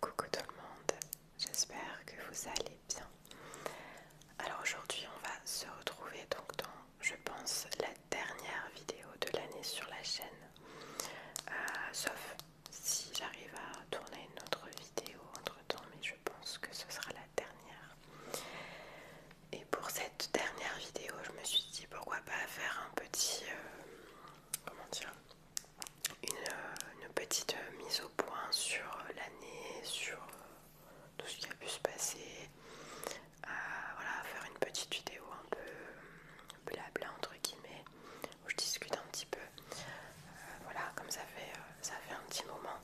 Coucou tout le monde, j'espère que vous allez bien. Alors aujourd'hui on va se retrouver donc dans je pense la dernière vidéo de l'année sur la chaîne. Euh, sauf si j'arrive à tourner une autre vidéo entre temps mais je pense que ce sera la dernière. Et pour cette dernière vidéo je me suis dit pourquoi pas faire un petit euh, comment dire euh, une, petite euh, mise au point sur euh, l'année, sur tout ce qui a pu se passer. à faire une petite vidéo un peu blabla entre guillemets, où je discute un petit peu. voilà, comme ça fait, ça fait un petit moment.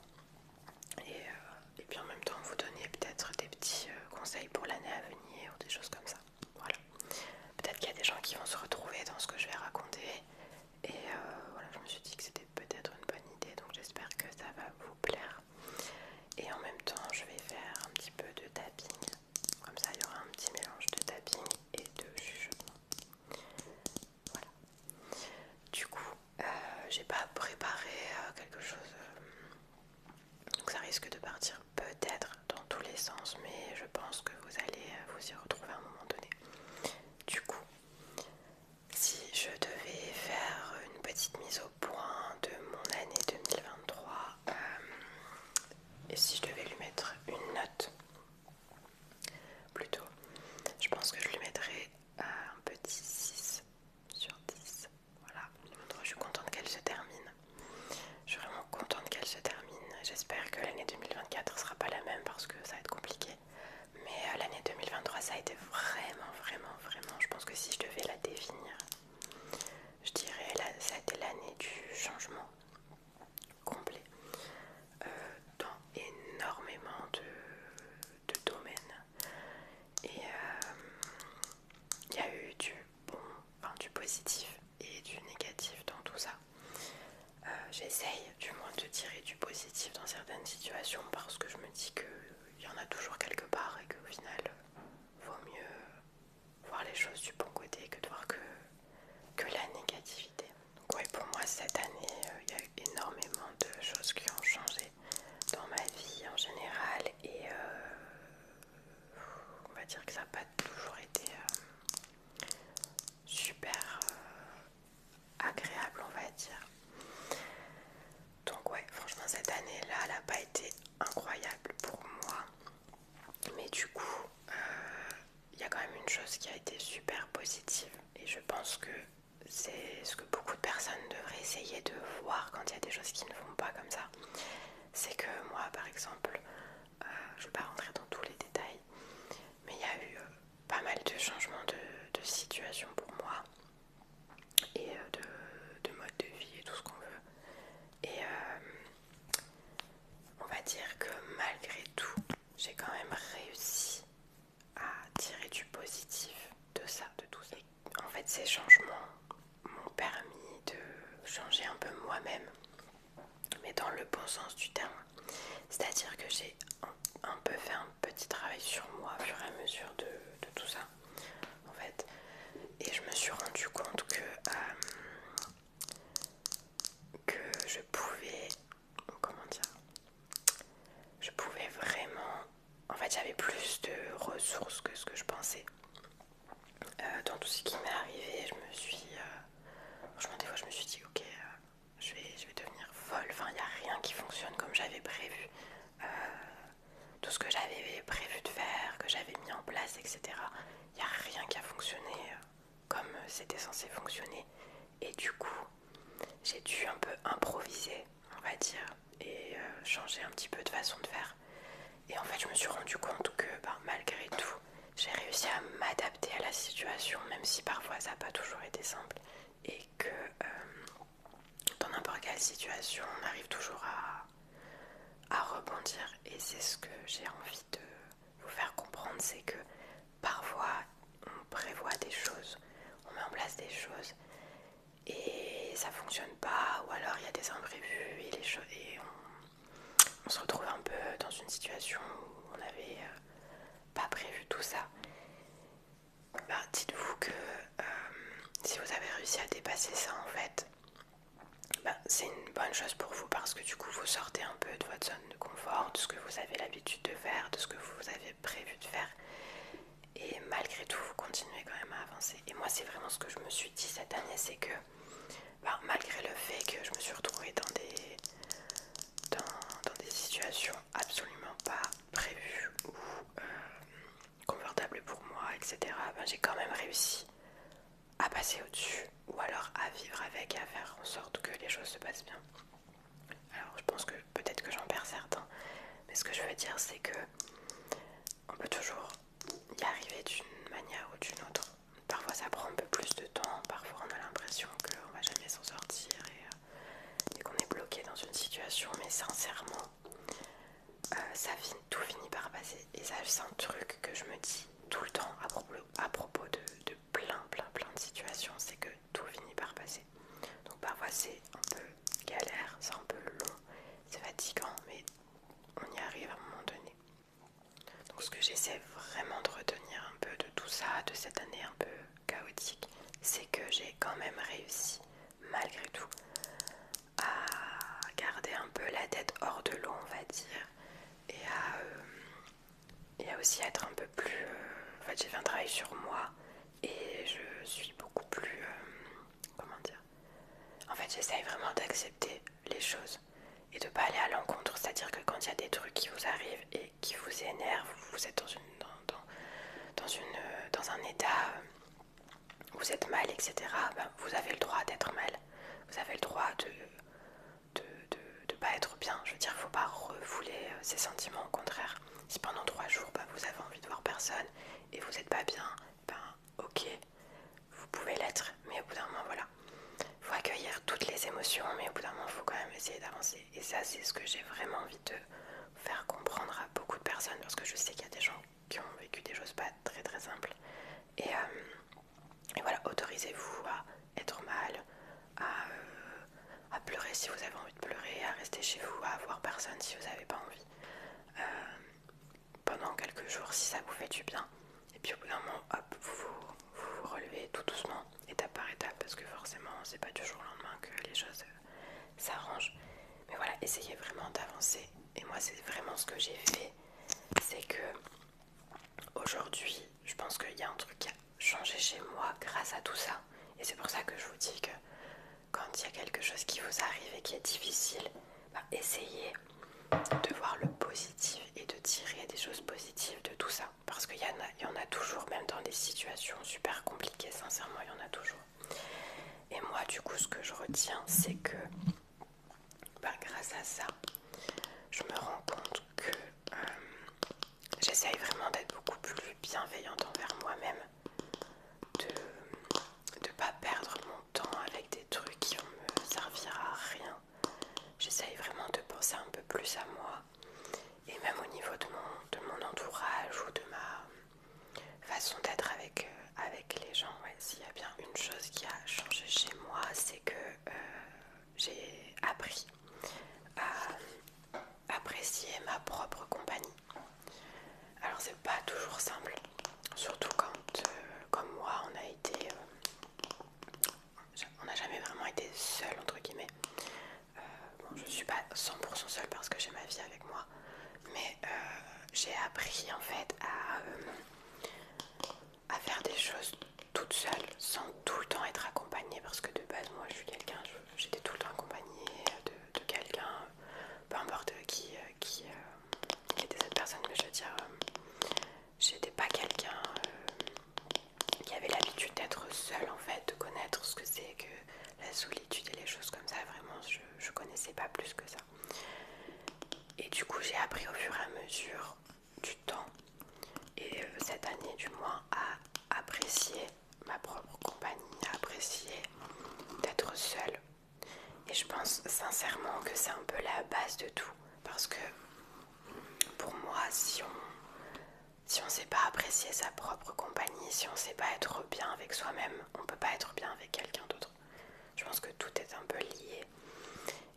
Et, puis en même temps, vous donner peut-être des petits conseils pour l'année à venir, ou des choses comme ça. Voilà peut-être qu'il y a des gens qui vont se retrouver dans ce que je vais raconter. Et euh, voilà, je me suis dit que c'était peut-être une bonne idée, donc j'espère que ça va vous plaire. Et en même temps, je vais faire un petit peu de tapping. Comme ça, il y aura un petit mélange de tapping et de jugement. Voilà. Du coup, euh, j'ai pas préparé euh, quelque chose, donc ça risque de partir peut-être dans tous les sens, mais je pense que vous allez euh, vous y retrouver à un moment donné. Du coup, si je devais faire une petite mise au point de mon année 2023, euh, et si je devais lui mettre une note, plutôt, je pense que je lui mettrais euh, un petit 6 sur 10. Voilà, je suis contente qu'elle se termine. Je suis vraiment contente qu'elle se termine. J'espère que l'année 2024 sera pas la même parce que ça va être compliqué. Mais euh, l'année 2023, ça a été vraiment, vraiment, vraiment. Je pense que si je devais la définir, je dirais que ça a été l'année du changement complet euh, dans énormément de, domaines. Et euh, il y a eu du bon, enfin, du positif et du négatif dans tout ça. Euh, j'essaye du moins de tirer du positif dans certaines situations parce que je me dis qu'il y en a toujours quelque part et qu'au final, vaut mieux voir les choses du bon côté que de voir que, que la négativité. Donc ouais, pour moi, cette année, euh, il y a énormément de choses qui ont changé dans ma vie en général et euh, on va dire que ça n'a pas toujours été super euh, agréable on va dire donc ouais franchement cette année là elle n'a pas été incroyable pour moi mais du coup il euh, y a quand même une chose qui a été super positive et je pense que c'est ce que beaucoup de personnes devraient essayer de voir quand il y a des choses qui ne vont pas comme ça c'est que moi par exemple euh, je ne vais pas rentrer dans tous les détails, mais il y a eu euh, pas mal de changements de, situation pour moi et euh, de, mode de vie et tout ce qu'on veut. Et on va dire que malgré tout, j'ai quand même réussi à tirer du positif de ça, de tout ça. en fait, ces changements m'ont permis de changer un peu moi-même mais dans le bon sens du terme. C'est-à-dire que j'ai un, peu fait un petit travail sur moi au fur et à mesure de, tout ça, en fait. Et je me suis rendu compte que, euh, que je pouvais, comment dire, je pouvais vraiment, en fait j'avais plus de ressources que ce que je pensais. Euh, dans tout ce qui m'est arrivé, je me suis... Euh, franchement, des fois, je me suis dit, ok, euh, je, vais, devenir folle. Enfin, il n'y a rien qui fonctionne comme j'avais prévu. Euh, tout ce que j'avais prévu de faire, que j'avais mis en place, etc. Il n'y a rien qui a fonctionné euh, comme c'était censé fonctionner. Et du coup, j'ai dû un peu improviser, on va dire, et changer un petit peu de façon de faire. Et en fait, je me suis rendu compte que bah, malgré tout, j'ai réussi à m'adapter à la situation, même si parfois ça n'a pas toujours été simple et que euh, dans n'importe quelle situation, on arrive toujours à, rebondir. Et c'est ce que j'ai envie de vous faire comprendre, c'est que parfois on prévoit des choses, on met en place des choses et ça fonctionne pas, ou alors il y a des imprévus et, les et on on se retrouve un peu dans une situation où on n'avait euh, pas prévu tout ça. Bah, Dites-vous que euh, si vous avez réussi à dépasser ça en fait, bah, c'est une bonne chose pour vous parce que du coup vous sortez un peu de votre zone de confort, de ce que vous avez l'habitude de faire, de ce que vous avez prévu de faire. Et malgré tout, vous continuez quand même à avancer. Et moi, c'est vraiment ce que je me suis dit cette année, c'est que bah, malgré le fait que je me suis retrouvée dans des, dans, des situations absolument pas prévues ou euh, confortables pour moi, etc., bah, j'ai quand même réussi à passer au-dessus ou alors à vivre avec et à faire en sorte que les choses se passent bien. Alors je pense que peut-être que j'en perds certains, mais ce que je veux dire c'est que on peut toujours y arriver d'une manière ou d'une autre. Parfois ça prend un peu plus de temps, parfois on a l'impression qu'on va jamais s'en sortir et, euh, qu'on est bloqué dans une situation, mais sincèrement, euh, ça tout finit par passer. Et ça, c'est un truc que je me dis tout le temps à propos, de, de plein, plein, plein de situations, c'est que tout finit par passer. Donc parfois c'est un peu galère, c'est un peu long, c'est fatigant, mais on y arrive à un moment donné. Donc ce que j'essaie vraiment de retenir un peu de tout ça, de cette année un peu chaotique, c'est que j'ai quand même réussi, malgré tout, à garder un peu la tête hors de l'eau, on va dire, et à, euh, et aussi être un peu plus... Euh, en fait, j'ai fait un travail sur moi et je suis beaucoup plus... Euh, comment dire En fait, j'essaye vraiment d'accepter les choses et de pas aller à l'encontre. C'est-à-dire que quand il y a des trucs qui vous arrivent et qui vous énervent, vous êtes dans, une, dans, dans, dans, une, dans un état euh, vous êtes mal, etc., ben, vous avez le droit d'être mal. Vous avez le droit de de, de, pas être bien. Je veux dire, faut pas refouler euh, ses sentiments, au contraire. Si pendant trois jours, ben, vous avez envie de voir personne et vous n'êtes pas bien, ben ok, vous pouvez l'être, mais au bout d'un moment, voilà. Il faut accueillir toutes les émotions, mais au bout d'un moment, il faut quand même essayer d'avancer. Et ça, c'est ce que j'ai vraiment envie de faire comprendre à beaucoup de personnes, parce que je sais qu'il y a des gens qui ont vécu des choses pas très très simples. Et, euh, voilà, autorisez-vous à être mal, euh, à, pleurer si vous avez envie de pleurer, à rester chez vous, à voir personne si vous n'avez pas envie. Euh, pendant quelques jours, si ça vous fait du bien, et puis au bout d'un moment, hop, vous vous, relevez tout doucement, étape par étape, parce que forcément, c'est pas du jour au lendemain que les choses euh, s'arrangent. Mais voilà, essayez vraiment d'avancer. Et moi, c'est vraiment ce que j'ai fait. C'est que aujourd'hui, je pense qu'il y a un truc qui a changé chez moi grâce à tout ça. Et c'est pour ça que je vous dis que quand il y a quelque chose qui vous arrive et qui est difficile, bah, essayez de voir le positif et de tirer des choses positives de tout ça. Parce qu'il y, en a toujours, même dans des situations super compliquées, sincèrement, il y en a toujours. Et moi, du coup, ce que je retiens, c'est que bah, grâce à ça, je me rends compte que euh, j'essaye vraiment d'être beaucoup plus bienveillante envers moi-même, de ne pas perdre mon temps avec des trucs qui vont me servir à rien, J'essaye vraiment de penser un peu plus à moi et même au niveau de mon, mon entourage ou de ma façon d'être avec, euh, avec les gens. S'il y a bien une chose qui a changé chez moi, c'est que euh, j'ai appris à apprécier ma propre compagnie. Alors c'est pas toujours simple, surtout quand, euh, comme moi, on a été on n'a jamais vraiment été seul entre guillemets. Je euh, bon, je suis pas 100% seule parce que j'ai ma vie avec moi, mais euh, j'ai appris en fait à, euh, à faire des choses toute seule sans tout le temps être accompagnée parce que de base moi je suis quelqu'un, j'étais tout le temps accompagnée de, quelqu'un, peu importe qui, qui, était cette personne, mais je veux dire, j'étais pas quelqu'un euh, qui avait l'habitude d'être seule en fait, de connaître ce que c'est que la solitude et les choses comme ça. Vraiment, je, je connaissais pas plus que ça. Et du coup, j'ai appris au fur et à mesure du temps et euh, cette année du moins à apprécier ma propre compagnie, à apprécier d'être seule. Et je pense sincèrement que c'est un peu la base de tout. Parce que pour moi, si on si ne sait pas apprécier sa propre compagnie, si on ne sait pas être bien avec soi-même, on ne peut pas être bien avec quelqu'un d'autre. Je pense que tout est un peu lié.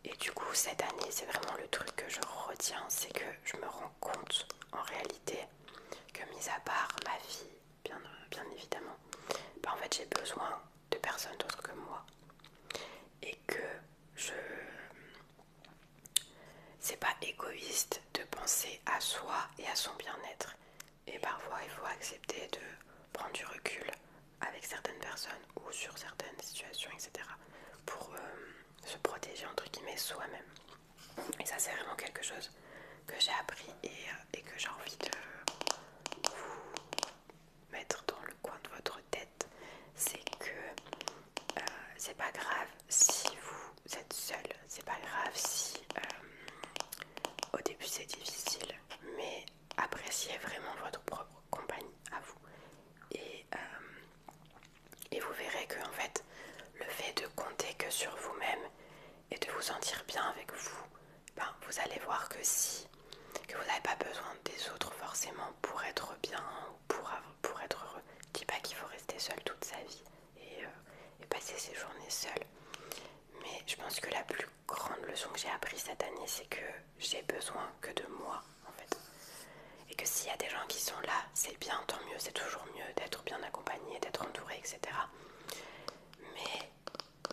Et du coup, cette année, c'est vraiment le truc que je retiens, c'est que je me rends compte en réalité que mis à part ma vie, bien, bien évidemment, bah, en fait j'ai besoin de personnes d'autres que moi et que je c'est pas égoïste de penser à soi et à son bien-être et parfois il faut accepter de prendre du recul avec certaines personnes ou sur certaines situations etc pour euh, se protéger entre guillemets soi-même et ça c'est vraiment quelque chose que j'ai appris et euh, que j'ai envie de vous mettre dans le coin de votre tête, c'est que euh, c'est pas grave si vous êtes seul, c'est pas grave si euh, au début c'est difficile, mais appréciez vraiment votre propre compagnie à vous. Et, euh, et vous verrez que en fait, le fait de compter que sur vous-même et de vous sentir bien avec vous, ben, vous allez voir que si que vous n'avez pas besoin des autres forcément pour être bien ou pour, pour être heureux. Je dis pas qu'il faut rester seul toute sa vie euh, et, passer ses journées seul. Mais je pense que la plus grande leçon que j'ai appris cette année, c'est que j'ai besoin que de moi en fait. Et que s'il y a des gens qui sont là, c'est bien, tant mieux, c'est toujours mieux d'être bien accompagné, d'être entouré, etc. Mais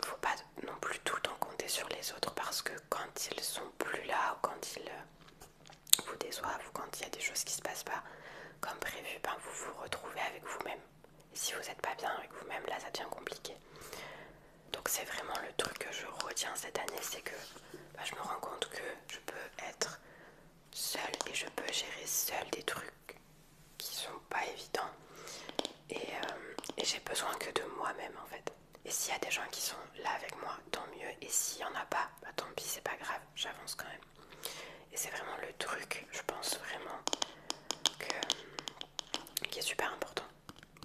faut pas non plus tout le temps compter sur les autres parce que quand ils sont plus là ou quand ils euh, vous déçoivent ou quand il y a des choses qui se passent pas comme prévu, ben, vous vous retrouvez avec vous-même. Et si vous n'êtes pas bien avec vous-même, là ça devient compliqué. Donc c'est vraiment le truc que je retiens cette année, c'est que ben, je me rends compte que je peux être seule et je peux gérer seule des trucs qui sont pas évidents. et euh, j'ai besoin que de moi-même en fait. Et s'il y a des gens qui sont là avec moi, tant mieux. Et s'il y en a pas, bah, tant pis, c'est pas grave, j'avance quand même. Et c'est vraiment le truc, je pense vraiment, qui est super important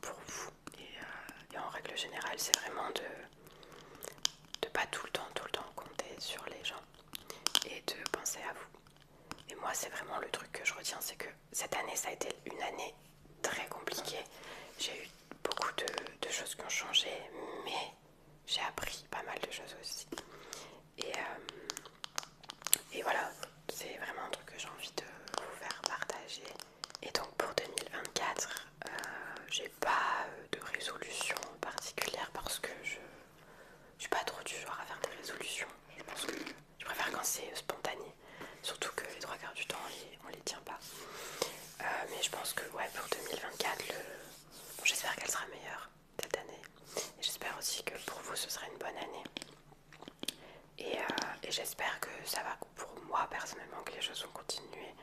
pour vous. Et, euh, en règle générale, c'est vraiment de ne pas tout le temps, tout le temps compter sur les gens et de penser à vous. Et moi, c'est vraiment le truc que je retiens, c'est que cette année, ça a été une année très compliquée. J'ai eu beaucoup de, choses qui ont changé, mais j'ai appris pas mal de choses aussi. Et, euh, et voilà, c'est vraiment un truc que j'ai envie de vous faire partager. Et donc pour 2024, euh, j'ai pas de résolution particulière parce que je, suis pas trop du genre à faire des résolutions. Je préfère quand c'est euh, spontané, surtout que les trois quarts du temps on les, les tient pas. Euh, mais je pense que ouais, pour 2024, j'espère qu'elle sera meilleure cette année. j'espère aussi que pour vous ce sera une bonne année. Euh, et, j'espère que ça va pour moi personnellement, que les choses vont continuer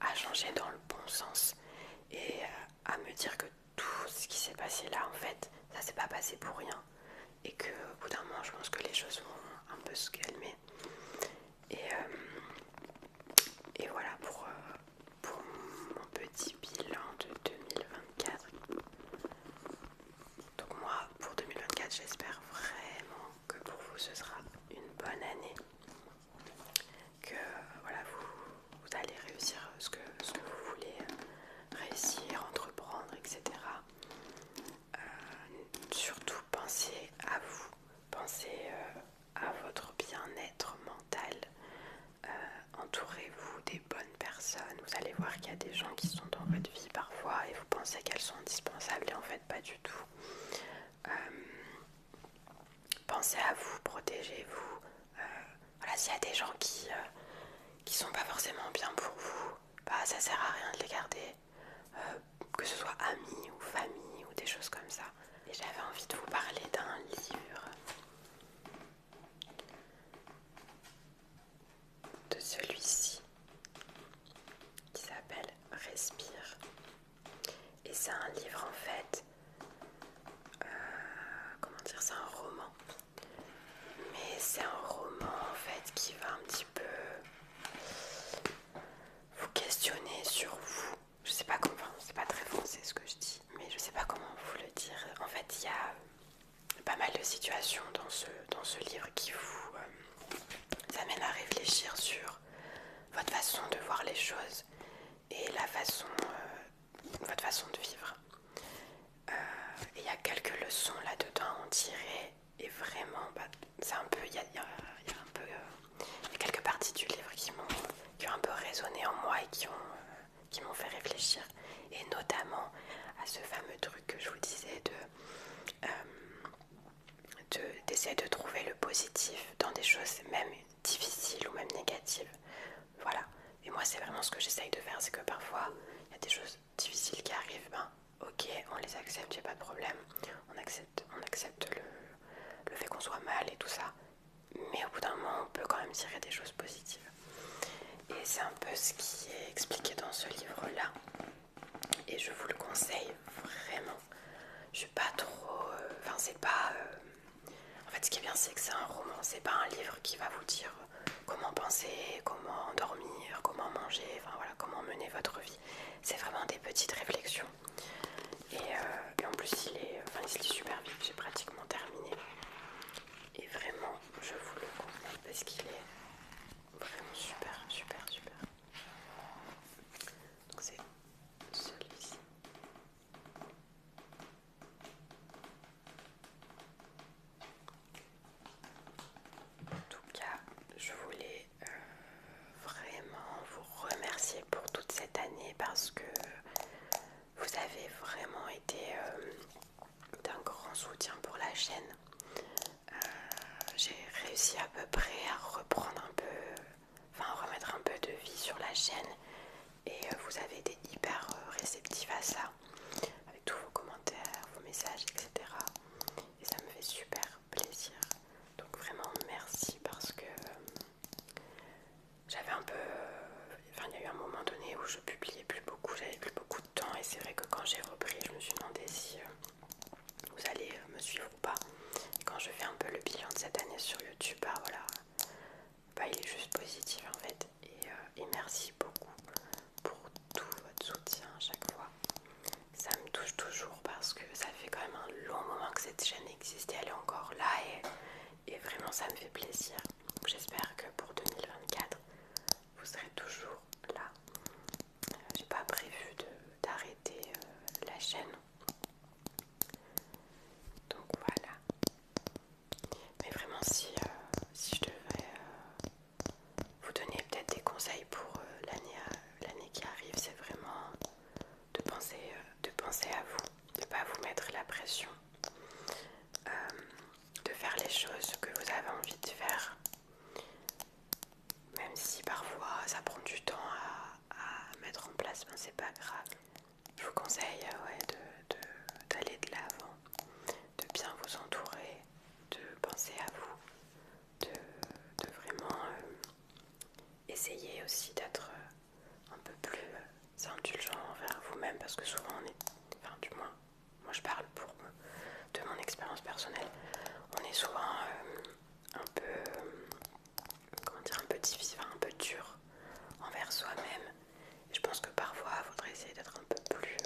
à changer dans le bon sens et à me dire que tout ce qui s'est passé là en fait, ça s'est pas passé pour rien et que au bout d'un moment je pense que les choses vont un peu se calmer et, euh, et voilà euh, pour, mon petit bilan de 2024 donc moi pour 2024 j'espère vraiment que pour vous ce sera une bonne année que voilà vous, vous allez réussir ce que, ce que vous voulez réussir entreprendre etc euh, surtout pensez à vous, pensez euh, à votre bien-être mental. Euh, entourez-vous des bonnes personnes. Vous allez voir qu'il y a des gens qui sont dans votre vie parfois et vous pensez qu'elles sont indispensables et en fait pas du tout. pensez à vous, protégez-vous. s'il y a des gens qui, sont pas forcément bien pour vous, bah ça sert à rien de les garder euh, que ce soit amis ou famille ou des choses comme ça. Et j'avais envie de vous parler d'un livre, de celui-ci, qui s'appelle Respire. Et c'est un livre en fait, euh, comment dire, c'est un roman. Mais c'est un roman en fait qui va un petit peu vous questionner sur vous. Je sais pas comment, c'est pas très français ce que je dis, mais je sais pas comment vous le dire. En fait, il y a pas mal de situations dans ce, dans ce livre qui vous euh, amènent à réfléchir sur votre façon de voir les choses et la façon, euh, votre façon de vivre. Euh, il y a quelques leçons là-dedans à en tirer et vraiment, bah, c'est un peu, il y a, un peu euh, quelques parties du livre qui ont un peu résonné en moi et euh, qui m'ont fait réfléchir, et notamment à ce fameux truc que je vous disais euh, de, d'essayer de, trouver le positif dans des choses même difficiles ou même négatives, voilà. Et moi, c'est vraiment ce que j'essaye de faire, c'est que parfois, il y a des choses difficiles qui arrivent, ben, ok, on les accepte, j'ai pas de problème, on accepte, on accepte le, fait qu'on soit mal et tout ça, mais au bout d'un moment, on peut quand même tirer des choses positives. Et c'est un peu ce qui est expliqué dans ce livre-là, et je vous le conseille vraiment. Je suis pas trop. Euh, enfin, c'est pas. Euh, en fait, ce qui est bien, c'est que c'est un roman, c'est pas un livre qui va vous dire comment penser, comment dormir, comment manger, voilà, comment mener votre vie. C'est vraiment des petites réflexions. Et, euh, en plus, il est, enfin, super vif, j'ai pratiquement terminé. Et vraiment, je vous le conseille parce qu'il est vraiment super, super, super. Donc c'est celui-ci. En tout cas, je voulais euh, vraiment vous remercier pour toute cette année parce que vous avez vraiment été euh, d'un grand soutien pour la chaîne. Euh, j'ai réussi à peu près à reprendre un peu, enfin remettre un peu de vie sur la chaîne et vous avez été hyper réceptifs à ça avec tous vos commentaires, vos messages, etc. Et ça me fait super plaisir. Donc vraiment merci parce que euh, j'avais un peu... Euh, enfin il y a eu un moment donné où je publiais plus beaucoup, j'avais plus beaucoup de temps et c'est vrai que quand j'ai repris je me suis demandé si euh, vous allez me suivre ou pas. quand je fais un peu le bilan de cette année sur YouTube, bah voilà, bah il est juste positif en fait. et merci beaucoup pour tout votre soutien à chaque fois. Ça me touche toujours parce que ça fait quand même un long moment que cette chaîne existe et elle est encore là et, vraiment ça me fait plaisir. J'espère que pour 2024, vous serez toujours là. Euh, j'ai pas prévu d'arrêter euh, la chaîne. Donc voilà. Mais vraiment si, euh, je devais vous donner peut-être des conseils pour euh, l'année qui arrive, c'est vraiment de penser, euh, de penser à vous, de ne pas vous mettre la pression, euh, de faire les choses que vous avez envie de faire, même si parfois ça prend du temps à, mettre en place, mais ben, c'est pas grave. Je vous conseille d'aller de, de l'avant de bien vous entourer, de penser à vous, de, vraiment euh, essayer aussi d'être euh, un peu plus euh, indulgent envers vous-même parce que souvent on est, enfin du moins, moi je parle pour de mon expérience personnelle, on est souvent un peu, comment dire, un peu difficile, un peu dur envers soi-même. Je pense que parfois il faudrait essayer d'être un peu plus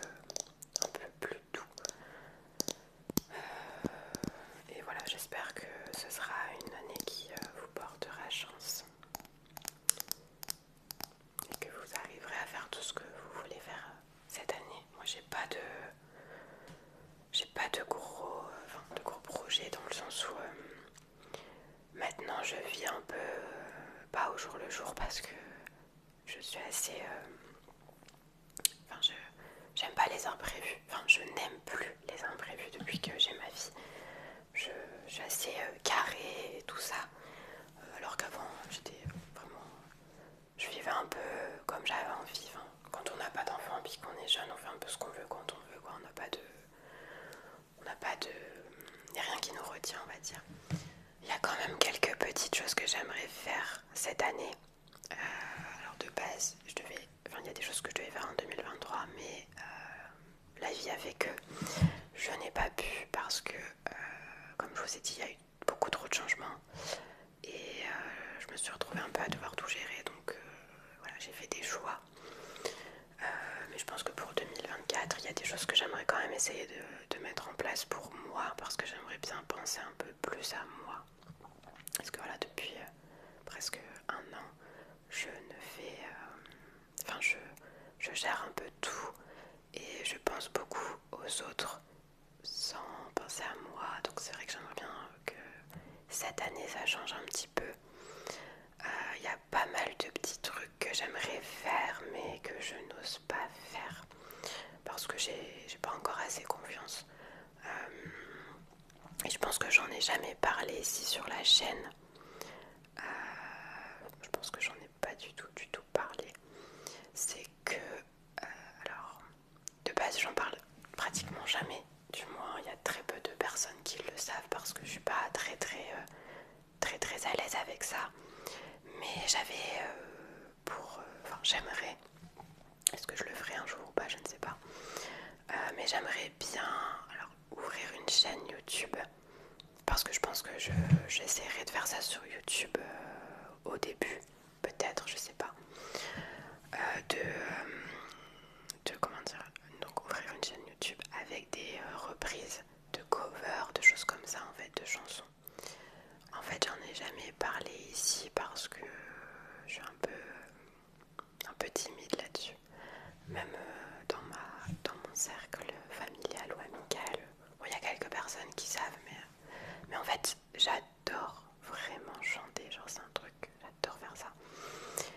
un peu plus doux. Euh, et voilà, j'espère que ce sera une année qui euh, vous portera chance et que vous arriverez à faire tout ce que vous voulez faire euh, cette année. Moi, j'ai pas de, j'ai pas de gros, de gros projets dans le sens où maintenant je vis un peu pas au jour le jour parce que je suis assez... Euh, enfin, je j'aime pas les imprévus. Enfin, je n'aime plus les imprévus depuis que j'ai ma vie. Je, suis assez euh, carrée et tout ça. Euh, alors qu'avant, j'étais vraiment... Je vivais un peu comme j'avais envie. quand on n'a pas d'enfant puis qu'on est jeune, on fait un peu ce qu'on veut quand on veut. Quoi. On n'a pas de... On n'a pas de... Il n'y a rien qui nous retient, on va dire. Il y a quand même quelques petites choses que j'aimerais faire cette année. Euh, alors de base, je devais, il y a des choses que je devais faire en 2023, mais euh, la vie a fait que je n'ai pas pu parce que, euh, comme je vous ai dit, il y a eu beaucoup trop de changements et je me suis retrouvée un peu à devoir tout gérer. Donc voilà, j'ai fait des choix. mais je pense que pour 2024, il y a des choses que j'aimerais quand même essayer de euh, de mettre en place pour moi parce que j'aimerais bien penser un peu plus à moi. Parce que voilà, depuis euh, presque un an, je ne fais. Euh, enfin, je, gère un peu tout et je pense beaucoup aux autres sans penser à moi. Donc, c'est vrai que j'aimerais bien que cette année ça change un petit peu. Il y a pas mal de petits trucs que j'aimerais faire mais que je n'ose pas faire parce que j'ai pas encore assez confiance. Euh, et je pense que j'en ai jamais parlé ici sur la chaîne. Euh, je pense que j'en ai pas du tout, du tout parlé. C'est que, euh, alors, de base, j'en parle pratiquement jamais. Du moins, il y a très peu de personnes qui le savent parce que je suis pas très, très, très, très à l'aise avec ça. Mais j'avais pour... Euh, j'aimerais... Est-ce que je le ferai un jour ou pas Je ne sais pas. Euh, mais j'aimerais bien ouvrir une chaîne YouTube. Parce que je pense que j'essaierai de faire ça sur YouTube euh, au début. Peut-être, je sais pas. de, Comment dire Donc ouvrir une chaîne YouTube avec des reprises de covers, de choses comme ça en fait, de chansons en fait, j'en ai jamais parlé ici parce que je suis un peu, timide là-dessus. Même euh, dans, mon cercle familial ou amical, il y a quelques personnes qui savent, mais, mais en fait, j'adore vraiment chanter. Genre, c'est un truc, j'adore faire ça.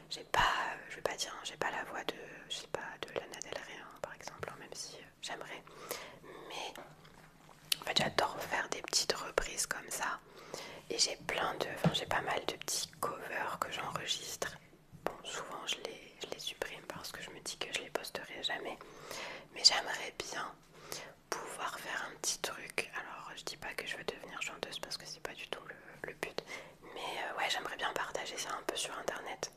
J'ai pas, je vais pas dire, j'ai pas la voix de, je sais pas, de Lana Del Rey, hein, par exemple, hein, même si euh, j'aimerais. Mais j'adore faire des petites reprises comme ça. Et j'ai plein de. Enfin, j'ai pas mal de petits covers que j'enregistre. Bon, souvent je les, supprime parce que je me dis que je les posterai jamais. Mais j'aimerais bien pouvoir faire un petit truc. Alors, je dis pas que je veux devenir chanteuse parce que c'est pas du tout le, but. Mais euh, ouais, j'aimerais bien partager ça un peu sur internet.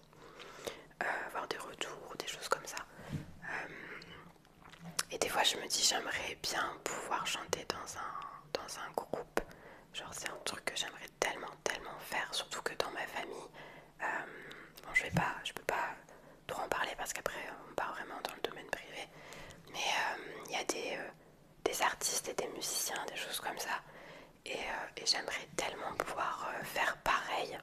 Euh, avoir des retours, des choses comme ça. Euh, et des fois, je me dis, j'aimerais bien pouvoir chanter dans un, dans un groupe. Genre, c'est un truc que j'aimerais tellement, tellement faire, surtout que dans ma famille, euh, bon, je vais pas, je peux pas trop en parler parce qu'après, on part vraiment dans le domaine privé. Mais il y a des, artistes et des musiciens, des choses comme ça. Et, j'aimerais tellement pouvoir faire pareil.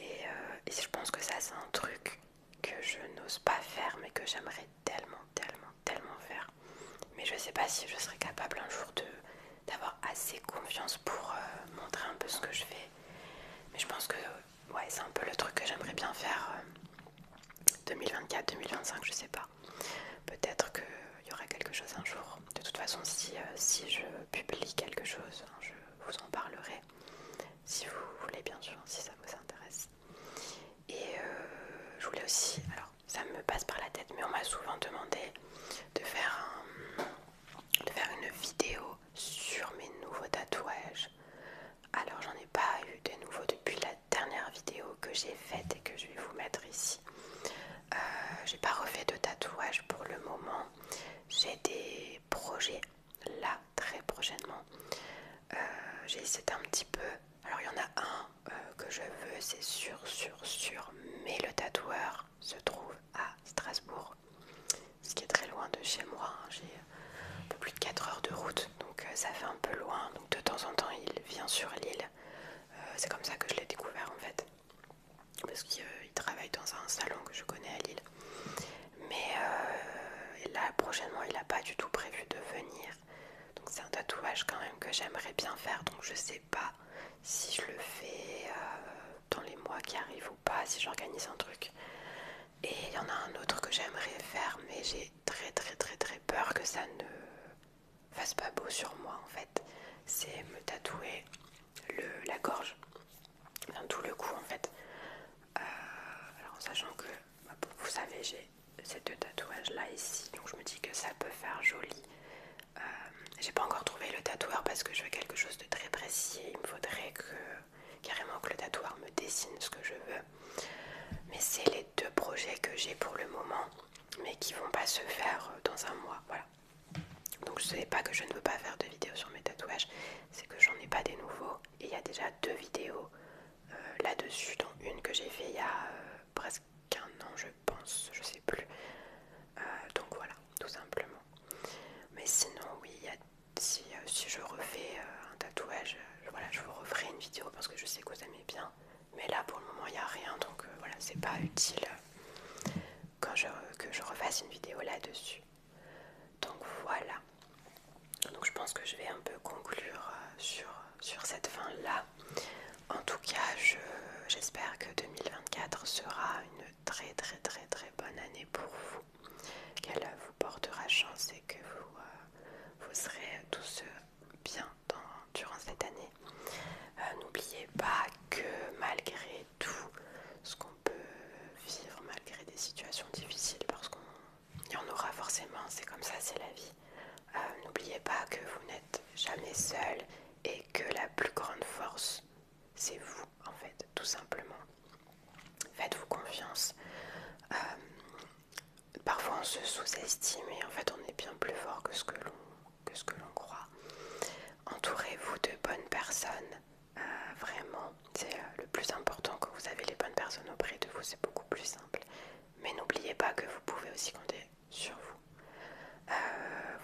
Euh, et, je pense que ça, c'est un truc que je n'ose pas faire, mais que j'aimerais tellement, tellement, tellement faire. Mais je sais pas si je serais capable un jour d'avoir assez confiance pour euh, montrer un peu ce que je fais. Mais je pense que ouais, c'est un peu le truc que j'aimerais bien faire 2024, euh, 2025, je sais pas. Peut-être qu'il y aura quelque chose un jour. De toute façon, si, si je publie quelque chose, hein, vous en parlerai si vous voulez bien sûr, si ça vous intéresse. Et euh, je voulais aussi, alors ça me passe par la tête, mais on m'a souvent demandé de faire, de faire une vidéo sur mes nouveaux tatouages. Alors j'en ai pas eu de nouveaux depuis la dernière vidéo que j'ai faite et que je vais vous mettre ici. Euh, j'ai pas refait de tatouage pour le moment. J'ai des projets là très prochainement. Euh, j'ai essayé un petit peu. Alors il y en a un euh, que je veux, c'est sûr, sûr, sûr. Mais le tatoueur se trouve à Strasbourg, ce qui est très loin de chez moi. Hein. J'ai euh, un peu plus de 4 heures de route, donc ça fait un peu loin. Donc de temps en temps, il vient sur l'île. c'est comme ça que je l'ai découvert en fait parce qu'il euh, travaille dans un salon que je connais à Lille. Mais euh, là, prochainement, il n'a pas du tout prévu de venir. Donc c'est un tatouage quand même que j'aimerais bien faire. Donc je ne sais pas si je le fais euh, dans les mois qui arrivent ou pas, si j'organise un truc. Et il y en a un autre que j'aimerais faire, mais j'ai très très très très peur que ça ne fasse pas beau sur moi en fait. C'est me tatouer la gorge tout le coup en fait. Euh, alors sachant que, bah, vous savez, j'ai ces deux tatouages là ici, donc je me dis que ça peut faire joli. Euh, j'ai pas encore trouvé le tatoueur parce que je veux quelque chose de très précis. Il me faudrait que carrément que le tatoueur me dessine ce que je veux. Mais c'est les deux projets que j'ai pour le moment, mais qui vont pas se faire euh, dans un mois. Voilà. Donc ce sais pas que je ne veux pas faire de vidéo sur mes tatouages, c'est que j'en ai pas des nouveaux. Et il y a déjà deux vidéos euh, là-dessus, dont une que j'ai fait il y a euh, presque un an je pense, je sais plus. Euh, donc voilà, tout simplement. Mais sinon oui, si, je refais un tatouage, voilà, je vous referai une vidéo parce que je sais que vous aimez bien. Mais là pour le moment il n'y a rien, donc voilà, c'est pas utile quand je, que je refasse une vidéo là-dessus. Donc voilà. Donc je pense que je vais un peu conclure euh, sur, sur cette fin-là. En tout cas, j'espère que 2024 sera une très très très très bonne année pour vous, qu'elle vous portera chance et que vous, euh, vous serez tous euh, bien dans, durant cette année. N'oubliez pas que malgré tout ce qu'on peut vivre malgré des situations difficiles parce qu'il y en aura forcément, c'est comme ça, c'est la vie. Euh, n'oubliez pas que vous n'êtes jamais seul et que la plus grande force, c'est vous en fait, tout simplement. Faites-vous confiance. Euh, parfois on se sous-estime et en fait on est bien plus fort que ce que l'on que ce que l'on croit. Entourez-vous de bonnes personnes, euh, vraiment. C'est euh, le plus important que vous avez les bonnes personnes auprès de vous, c'est beaucoup plus simple. Mais n'oubliez pas que vous pouvez aussi compter sur vous. Euh,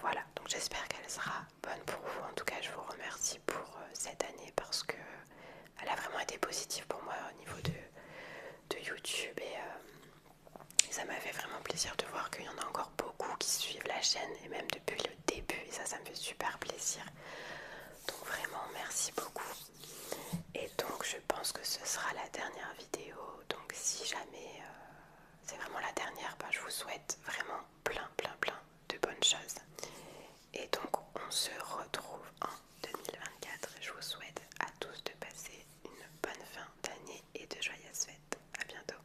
voilà, donc j'espère qu'elle sera bonne pour vous. En tout cas, je vous remercie pour cette année parce que elle a vraiment été positive pour moi au niveau de, de YouTube et ça m'a fait vraiment plaisir de voir qu'il y en a encore beaucoup qui suivent la chaîne et même depuis début et ça ça me fait super plaisir donc vraiment merci beaucoup et donc je pense que ce sera la dernière vidéo donc si jamais euh, c'est vraiment la dernière bah, je vous souhaite vraiment plein plein plein de bonnes choses et donc on se retrouve en 2024 je vous souhaite à tous de passer une bonne fin d'année et de joyeuses fêtes à bientôt